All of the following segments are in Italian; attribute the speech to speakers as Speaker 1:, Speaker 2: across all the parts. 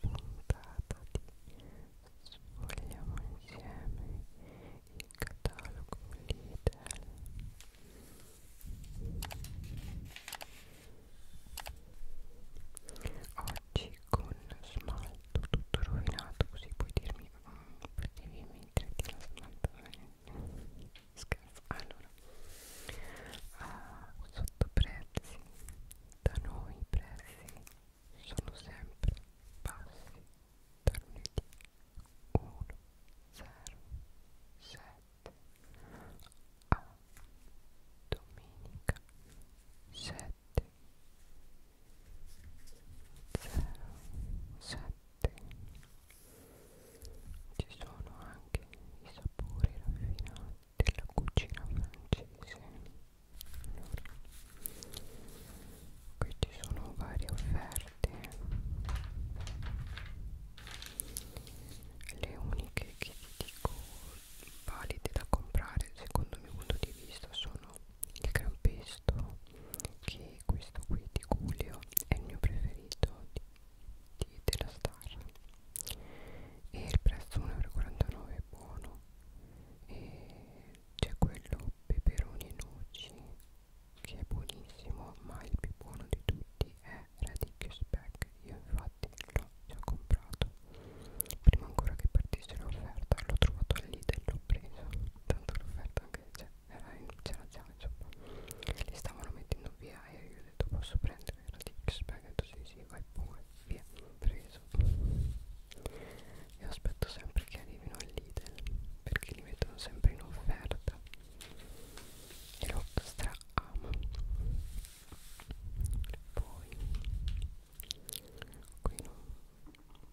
Speaker 1: puntata di Sfogliamo insieme il catalogo Lidl Oggi con smalto tutto rovinato così puoi dirmi mm, potevi metterti lo smalto scherzo allora a ah, sottoprezzi da noi prezzi sono sempre bassi da lunedì 1 0 7 a domenica 7 0 7 ci sono anche i sapori raffinati della cucina francese allora, qui ci sono varie offerte le uniche che ti dico valide da comprare secondo il mio punto di vista sono il gran pesto che questo qui di Giulio è il mio preferito di, di della star e il prezzo 1,49 è buono e c'è quello peperoni e noci che è buonissimo ma il più buono di tutti è radicchio speck io infatti l'ho già comprato prima ancora che partisse l'offerta l'ho trovato lì e l'ho preso tanto l'offerta anche c'era già insomma li stavano mettendo via e io ho detto posso prendere radicchio speck e ho detto sì sì vai pure via preso io aspetto sempre che arrivino al Lidl perché li mettono sempre in offerta e lo stra amo. Poi qui non...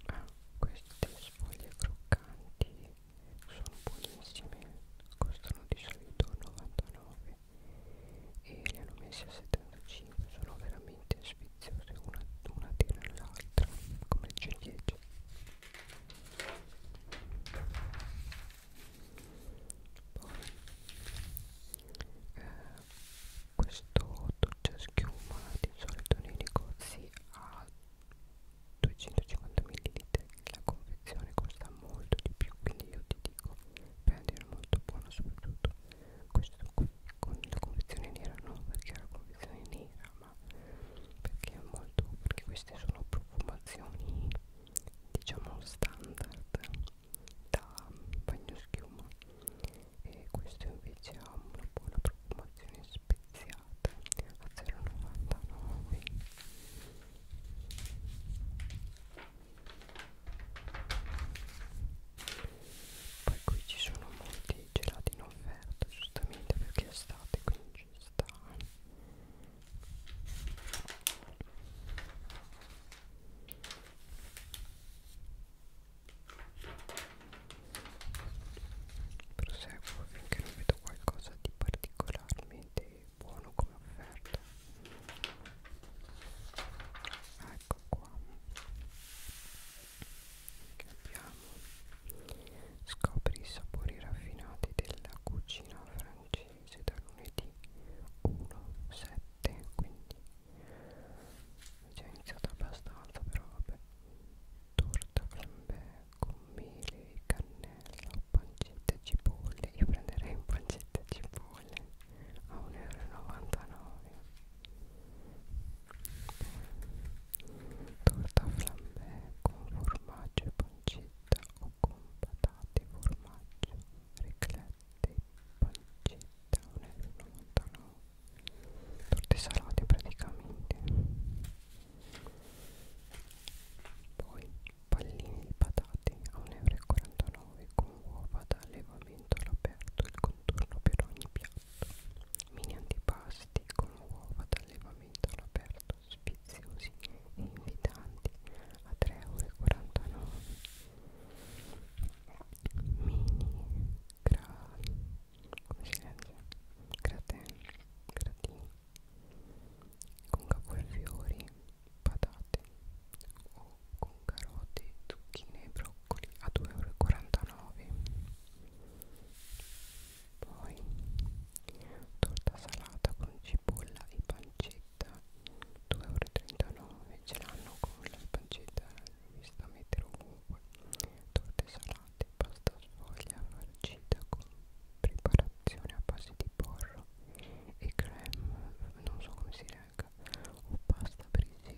Speaker 1: Ah, queste sfoglie croccanti sono buonissime, costano di solito 99 e li hanno messi a 75 sono veramente sfiziose una, una tira all'altra come ciliegie poi eh, questo doccia schiuma di solito nei negozi ha 250 ml la confezione costa molto di più quindi io ti dico prendere molto buono soprattutto questo qui con la confezione nera no perché era la confezione nera ma perché è molto perché queste sono profumazioni diciamo standard da bagno schiuma e questo invece ha una buona profumazione speziata a 0,99 poi qui ci sono molti gelati in offerta giustamente perché è estate quindi ci sta proseguo finché non vedo qualcosa di particolarmente buono come offerta ecco qua che abbiamo scopri i sapori raffinati della cucina francese da lunedì 1 7 quindi è già iniziato abbastanza però vabbè torta flambè con mele cannella pancetta cipolle io prenderei un pancetta cipolle sole a 1,99 euro torta flambè con formaggio e pancetta o con patate e formaggio riclette e pancetta 1,99 euro torte salate praticamente poi palline di patate a 1,49 euro 19 con uova da allevamento all'aperto il contorno per ogni piatto mini antipasti con uova da allevamento all'aperto spiziosi e invitanti a 3,49€ mini gra... come si legge? gratin, gratin con cavolfiori patate o con carote, zucchine e broccoli a 2,49 euro poi torta salata con cipolla e pancetta 2,39 euro ce l'hanno con la pancetta vista mettere ovunque torte salate pasta sfoglia farcita con preparazione a base di porro e creme non so come si snack ecco. o pasta brisi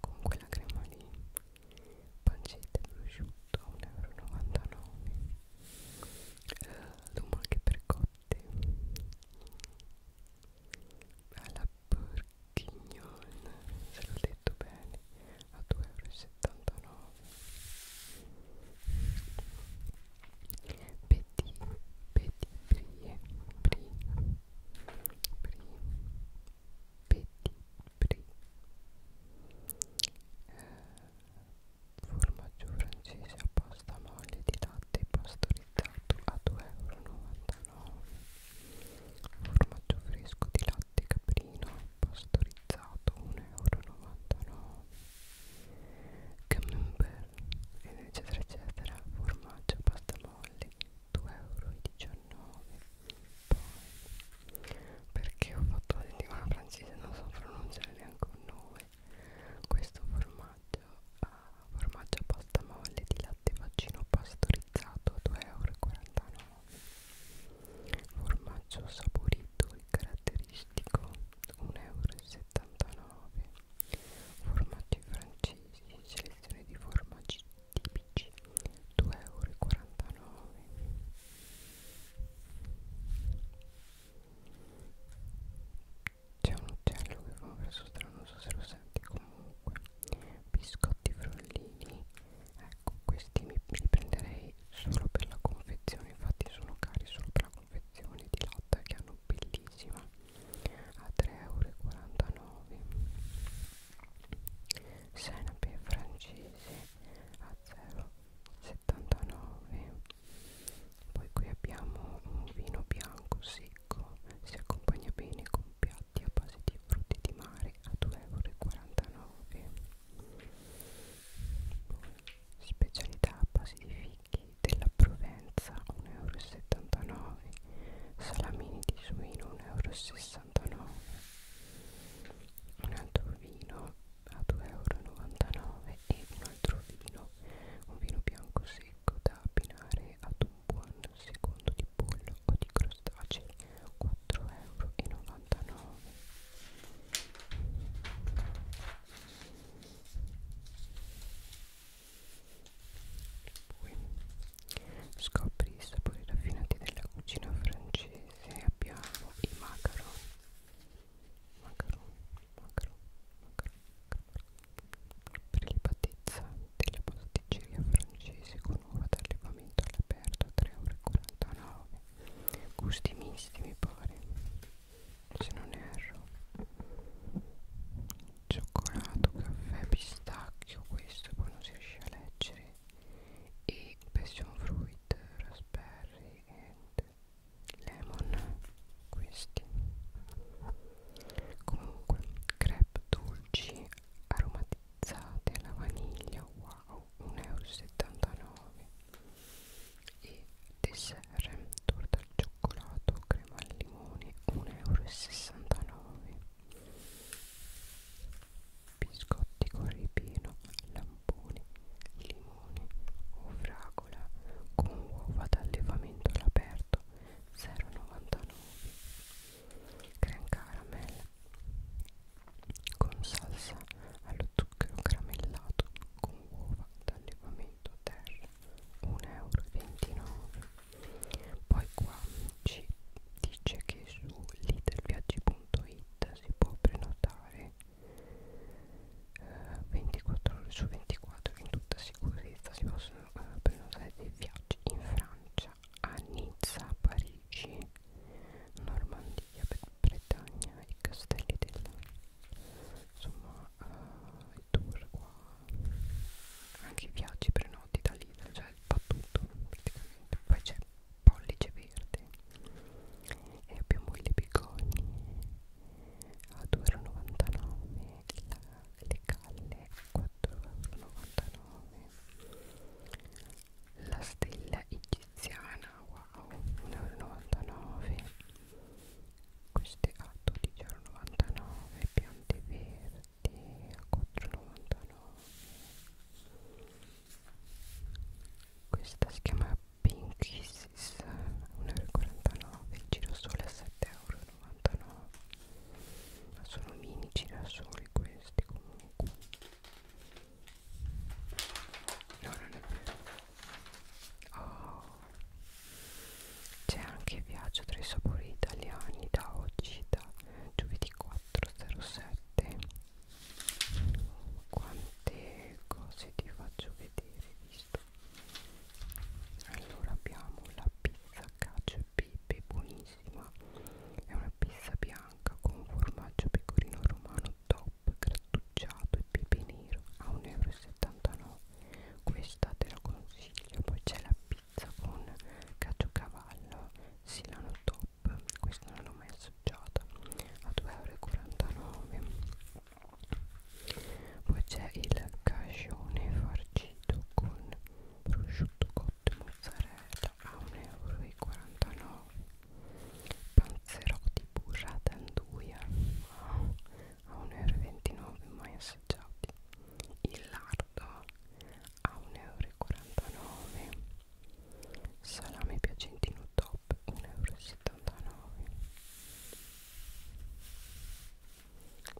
Speaker 1: con quella crema lì pancetta e prosciutto 1,99 euro uh, lumache per cotte alla porchignon se l'ho detto bene a 2,79 euro Petit, petit, brie, brie, brie, petit, brie, eh, formaggio francese a pasta molle di latte pastorizzato a 2,99 euro, formaggio fresco di latte caprino pastorizzato 1,99 euro, camembert eccetera eccetera formaggio pasta molle 2,19 euro poi perché ho fatto la settimana francese non so pronunciare neanche un nome questo formaggio ha ah, formaggio pasta molle di latte vaccino pastorizzato 2,49 euro formaggio saporito e caratteristico 1,79 euro formaggi francesi selezione di formaggi tipici 2,49 euro c'è un uccello che fa un verso strano non so se lo senti comunque biscotti frollini ecco questi mi, li prenderei solo per la confezione infatti sono cari solo per la confezione di latta che hanno bellissima a 3,49 euro senape francese a 0,79 poi qui abbiamo un vino bianco secco si accompagna bene con piatti a base di frutti di mare a 2,49 euro specialità a base di fichi Spaghetti della Provenza 1,79 euro Salamini di suino 1,69 euro Un altro vino a 2,99 euro E un altro vino, un vino bianco secco da abbinare ad un buon secondo di pollo o di crostacei 4,99 euro poi scopri i sapori raffinati della cucina francese. Abbiamo i macaron. Macaron, macaron, macaron, macaron. Prelibatezza della pasticceria francese con uva d'allevamento all'aperto a 3,49 euro. Gusti misti mi pare se non erro cioccolato, caffè, pistacchio questo poi non si riesce a leggere e passion fruit, raspberry e lemon questi comunque crepe dolci aromatizzate alla vaniglia wow 1,79 euro e dessert torta al cioccolato crema al limone 1,69 euro biscotti con ripieno lamponi limone o fragola con uova d'allevamento all'aperto 0,99 creme caramel con salsa allo zucchero caramellato con uova d'allevamento terra 1,29€. Poi qua ci dice che su littelviaggi.it si può prenotare eh, 24 ore su 24 in tutta sicurezza si possono eh, prenotare dei viaggi in Francia, a Nizza, Parigi, Normandia, Bretagna, i castelli del insomma eh, i tour qua anche i viaggi prenoti da lì cioè fa tutto praticamente poi c'è pollice verde e abbiamo le bigogne a 2,99 le calle a 4,99 la stella egiziana wow 1,99 queste a 12,99 piante verdi a 4,99 questa si chiama Pink Kisses a 1,49 il girasole a 7,99 ma sono mini girasoli questi comunque no non è vero Oh. C'è anche viaggio tra i sapori italiani da oggi, da giovedì 4.07. Quante cose ti faccio vedere, visto? Allora abbiamo la pizza cacio e pepe, buonissima. È una pizza bianca con formaggio pecorino romano top grattugiato e pepe nero a 1,79 euro questa te la consiglio poi c'è la pizza con caciocavallo silano top questa non l'ho mai assaggiata a 2,49 euro poi c'è il cagione farcito con prosciutto cotto e mozzarella a 1,49 euro panzerotti burrata anduia oh, a 1,29 euro mai assaggiati il lardo a 1,49 euro salame piacentino top 1,79 euro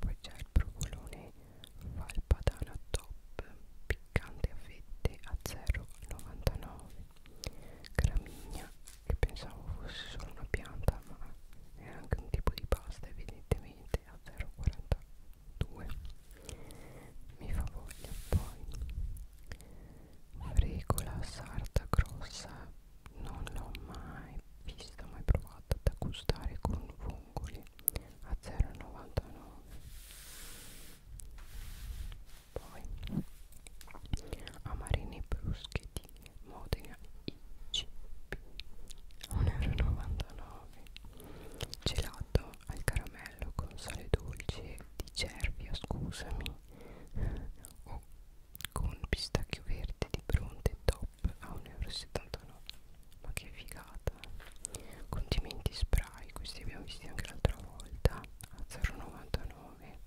Speaker 1: poi c'è il provolone valpadana top piccante a fette a 0,99 gramigna che pensavo fosse solo una pianta ma è anche un tipo di pasta evidentemente a 0,42 mi fa voglia poi fregola sarta grossa non l'ho mai vista mai provata da gustare con vongoli a 0,99 poi amarini bruschi di Modena ICP 1,99€ gelato al caramello con sale dolce di cervia scusami o con pistacchio verde di bronte top a 1,79€ ma che figata condimenti spray questi li abbiamo visti anche l'altra volta a 0,99 come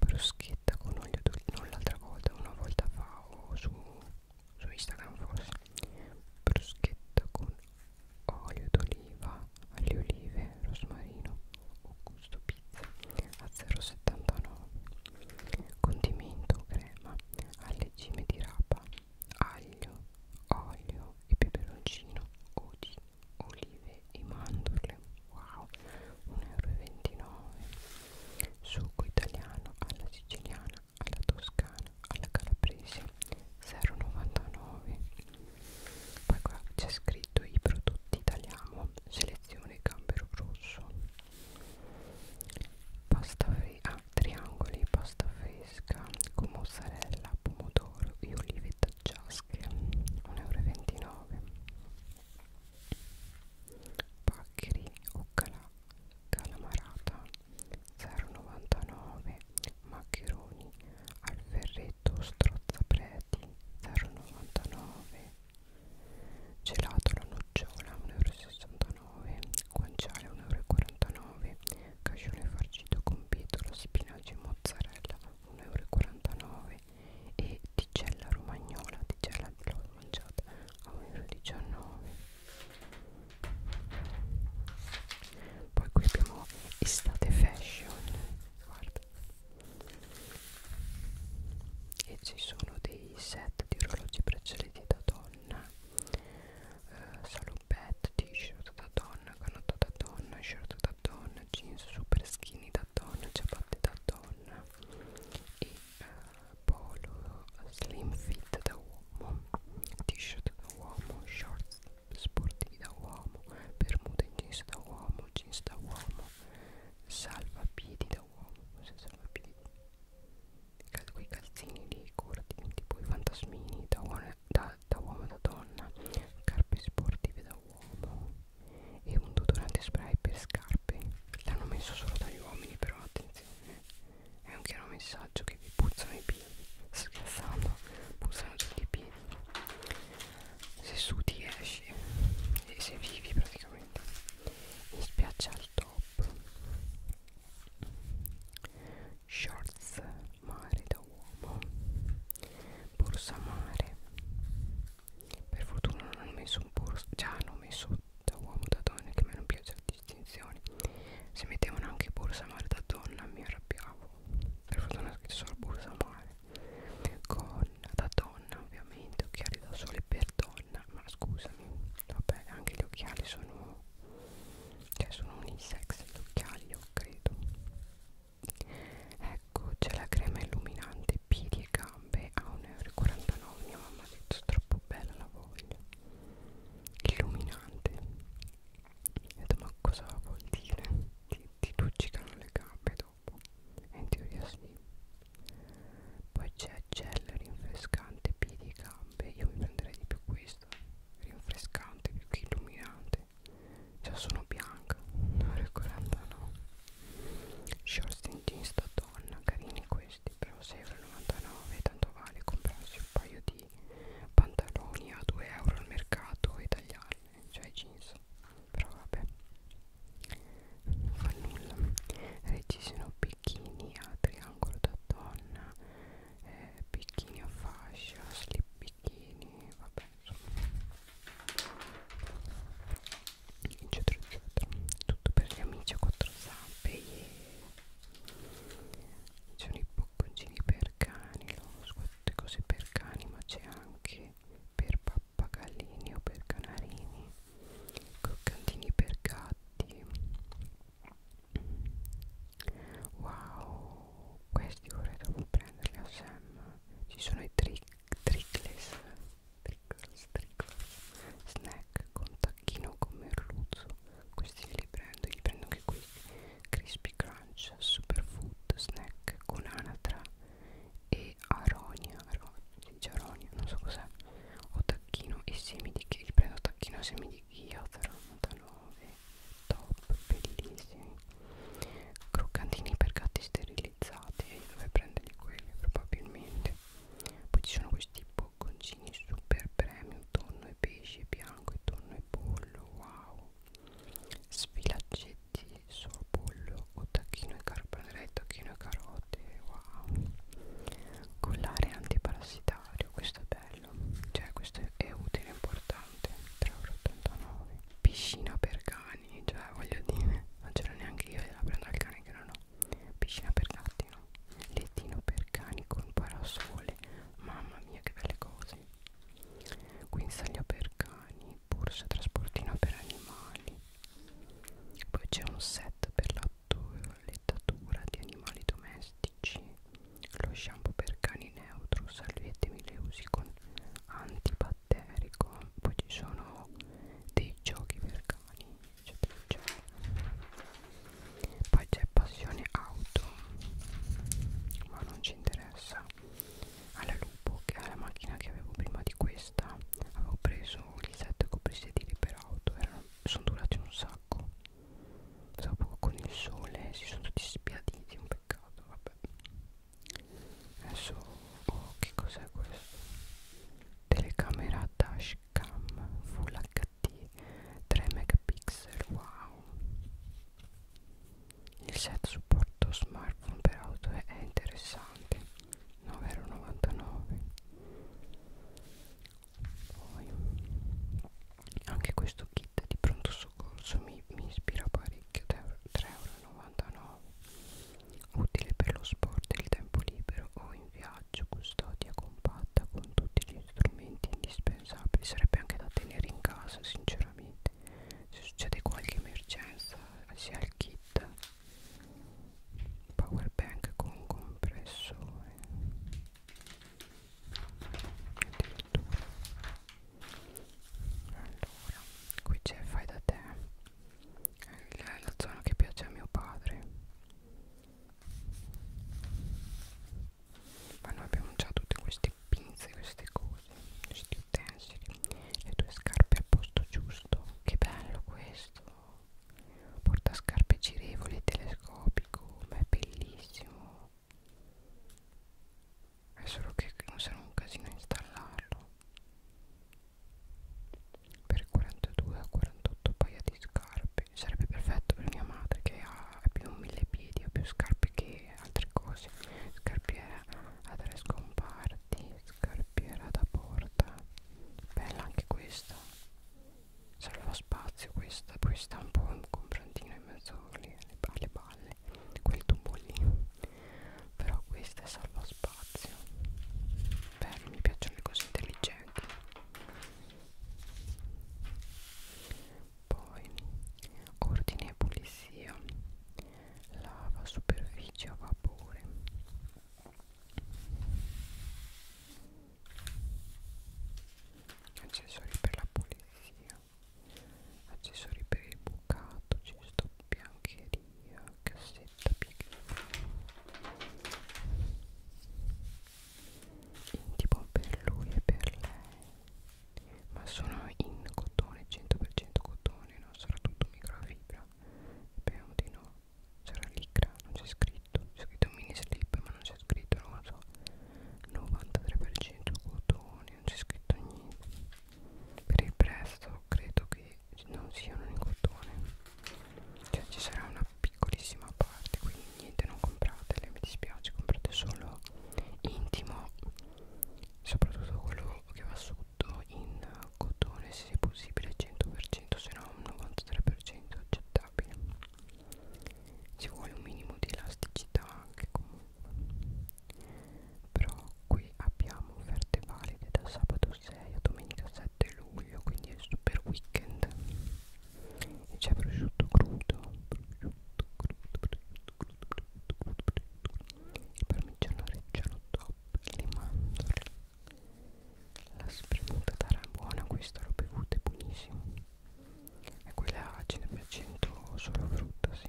Speaker 1: bruschetta con olio d'oliva non l'altra volta una volta fa o su, su Instagram forse bruschetta con olio d'oliva alle olive rosmarino o gusto pizza a 0,79 condimento crema alle cime di rapa aglio olio e peperoncino o di olive e mandorle wow 1,29 euro succo italiano alla siciliana alla toscana alla calabrese 0,99 poi qua c'è scritto i prodotti italiano selezione gambero rosso pasta fresca ah, triangoli pasta fresca con mozzarella pomodoro d'oro e olive taggiasche 1,29 euro paccheri o cala, calamarata 0,99 maccheroni al ferretto strozzapreti 0,99 gelato alla nocciola 1,69 euro guanciale 1,49 euro cacione farcito con pietra, spinaci e mozzarella 1,49 euro e ticella romagnola ticella l'ho mangiata a 1,19 poi qui abbiamo estate fashion guarda e ci sono dei set di orologi braccialetti da donna eh, salopette t-shirt da donna canotta da donna shirt da donna jeans super skinny d'atton, ciabatte d'atton e eh, polo slim fit da uomo, t-shirt da uomo, shorts sportivi da uomo, bermuda in jeans da uomo, jeans da uomo, salvapiedi da uomo, cos'è salvapiedi? Cal quei calzini lì corti, tipo i fantasmini da uomo da, da, uomo, da donna, carpe sportive da uomo e un deodorante spray per scarpe l'hanno messo solo dagli uomini però attenzione eh. è un chiaro messaggio che vi puzzano i piedi scherzando puzzano tutti i piedi se sudi esci e se vivi praticamente in spiaggia al top shorts mare da uomo borsa mare per fortuna non hanno messo un borsa già hanno messo da uomo da donna che a me non piace la distinzione se mettevano anche borsa mare da donna mi arrabbiavo per fortuna scritto solo borsa mare con da donna ovviamente occhiali da sole per donna ma scusami vabbè anche gli occhiali sono cioè sono unisex gli occhiali io credo ecco c'è la crema illuminante piedi e gambe a 1,49 euro mia mamma ha detto troppo bella la voglio illuminante ho detto ma cosa vuol dire ti, ti luccicano le gambe dopo e in teoria sì poi c'è gel rinfrescante piedi e gambe io mi prenderei di più questo rinfrescante più che illuminante niente Già sono bianca 1,49 Shorts in jeans da donna Carini questi però 6,99 Tanto vale comprarsi un paio di pantaloni a 2 euro al mercato e tagliarli Cioè i jeans Però vabbè Non fa nulla Reggiseno bikini a triangolo da donna eh, Bikini a fascia Slip bikini Vabbè eccetera eccetera tutto per gli amici a quattro zampe yeah. ci sono i bocconcini per cani lo squatto cose per cani ma c'è anche per pappagallini o per canarini croccantini per gatti wow questi vorrei dopo prenderli a Sam ci sono i tri trickless trickles, trickles snack con tacchino con merluzzo questi me li prendo li prendo anche questi crispy crunch superfood snack con anatra e aronia aronia, si dice aronia non so cos'è o tacchino e semi di chia li prendo tacchino e semi di chia 0,99 top bellissimi croccantini per gatti sterilizzati e dove prenderli quelli probabilmente poi ci sono questi bocconcini super premium tonno e pesce bianco e tonno e pollo wow sfilaccetti sorbollo o tacchino e carpone tacchino e carote wow collare antiparassitario questo è bello cioè questo è utile importante pesante 3,89 euro piscina per cani cioè voglio dire non ce l'ho neanche io la prendo al cane che non ho piscina per gatti no lettino per cani con parasole mamma mia che belle cose guinzaglio per cani borsa trasportino per animali poi c'è un set per la lettatura di animali domestici lo shampoo per cani neutro salviette mille usi con antibatterico poi ci sono dei giochi per cani eccetera eccetera poi c'è passione auto ma non ci interessa alla lupo che è la macchina che avevo prima di questa avevo preso gli set coprisedili per auto erano, sono durati un sacco dopo con il sole si sono tutti spiaditi un peccato vabbè vabbè adesso oh, che cos'è questo telecamera dashcam full hd 3 megapixel wow il set supporto smartphone per auto è interessante 9,99 poi anche questo kit kit di pronto soccorso mi, mi ispira parecchio 3,99€ utile per lo sport e il tempo libero o in viaggio custodia compatta con tutti gli strumenti indispensabili sarebbe anche da tenere in casa sinceramente se succede qualche emergenza si ha il kit power bank con compressore eh allora qui c'è fai da te è la zona che piace a mio padre ma noi abbiamo già tutte queste pinze queste cose questi utensili le tue scarpe al posto giusto che bello questo porta scarpe girevoli telescopico ma è bellissimo è solo che non sarà un casino installarlo per 42 a 48 paia di scarpe sarebbe perfetto per mia madre che ha più mille piedi ha più scarpe che altre cose scarpiera a tre scomparti scarpiera da porta bella anche questa salva spazio questa poi sta un po' un comprantina in mezzo alle, alle, alle palle quel tubo lì però questa è salva spazio bello mi piacciono le cose intelligenti poi ordine e pulizia lava superficie a vapore accessori per la pulizia accessori per il bucato cesto biancheria cassetta intimo per lui e per lei ma sono in cotone 100% cotone non sarà tutto microfibra speriamo di no sarà ligra non c'è scritto c'è scritto mini slip ma non c'è scritto non lo so 93% cotone, non c'è scritto niente per il prezzo credo che non siano in cotone cioè ci sarà una piccolissima parte quindi niente non compratele mi dispiace comprate solo intimo soprattutto quello che va sotto in cotone se possibile 100% se no un 93% accettabile ci vuole un minimo di elasticità anche comunque però qui abbiamo offerte valide da sabato 6 a domenica 7 luglio quindi è il super weekend e c'è prosciutto crudo prosciutto crudo prosciutto crudo prosciutto crudo, prosciutto crudo il parmigiano reggiano top le mandorle la spremuta d'arabuona questa l'ho bevuta è buonissima e quella ce n'è per cento solo frutta sì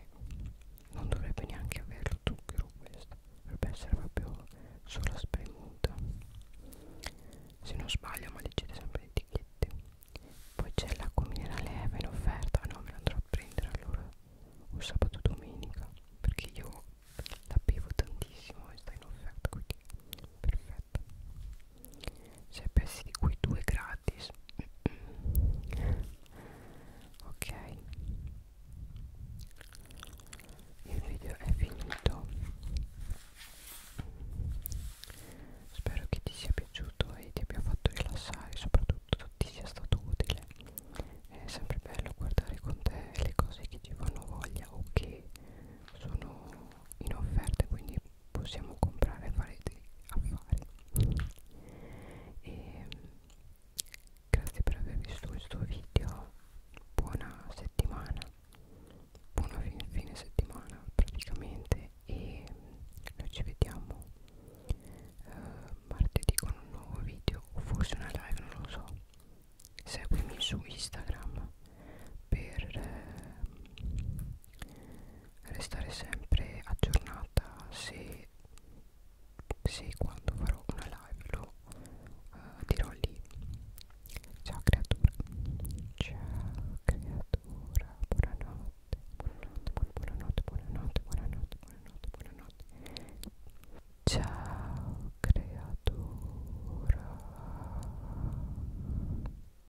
Speaker 1: non dovrebbe neanche avere lo zucchero questo dovrebbe essere proprio solo spremuta se non sbaglio ma leggete sempre le etichette poi c'è l'acqua minerale Eva eh, in offerta no me la andrò a prendere allora o sabato domenica perché io la bevo tantissimo e sta in offerta quindi perfetto 6 cioè, pezzi di cui 2 gratis ok il video è finito spero che ti sia piaciuto e ti abbia fatto rilassare soprattutto ti sia stato utile è sempre bello guardare con te le cose che ti fanno voglia o che sono in offerta quindi possiamo comprare e fare degli affari e grazie per aver visto questo video buona settimana buona fine, fine settimana praticamente e noi ci vediamo uh, martedì con un nuovo video o forse una live non lo so seguimi su Instagram per eh, restare sempre aggiornata se, se quando farò una live lo uh, dirò lì ciao creatura ciao creatura buonanotte buonanotte buonanotte buonanotte buonanotte buonanotte buonanotte ciao creatura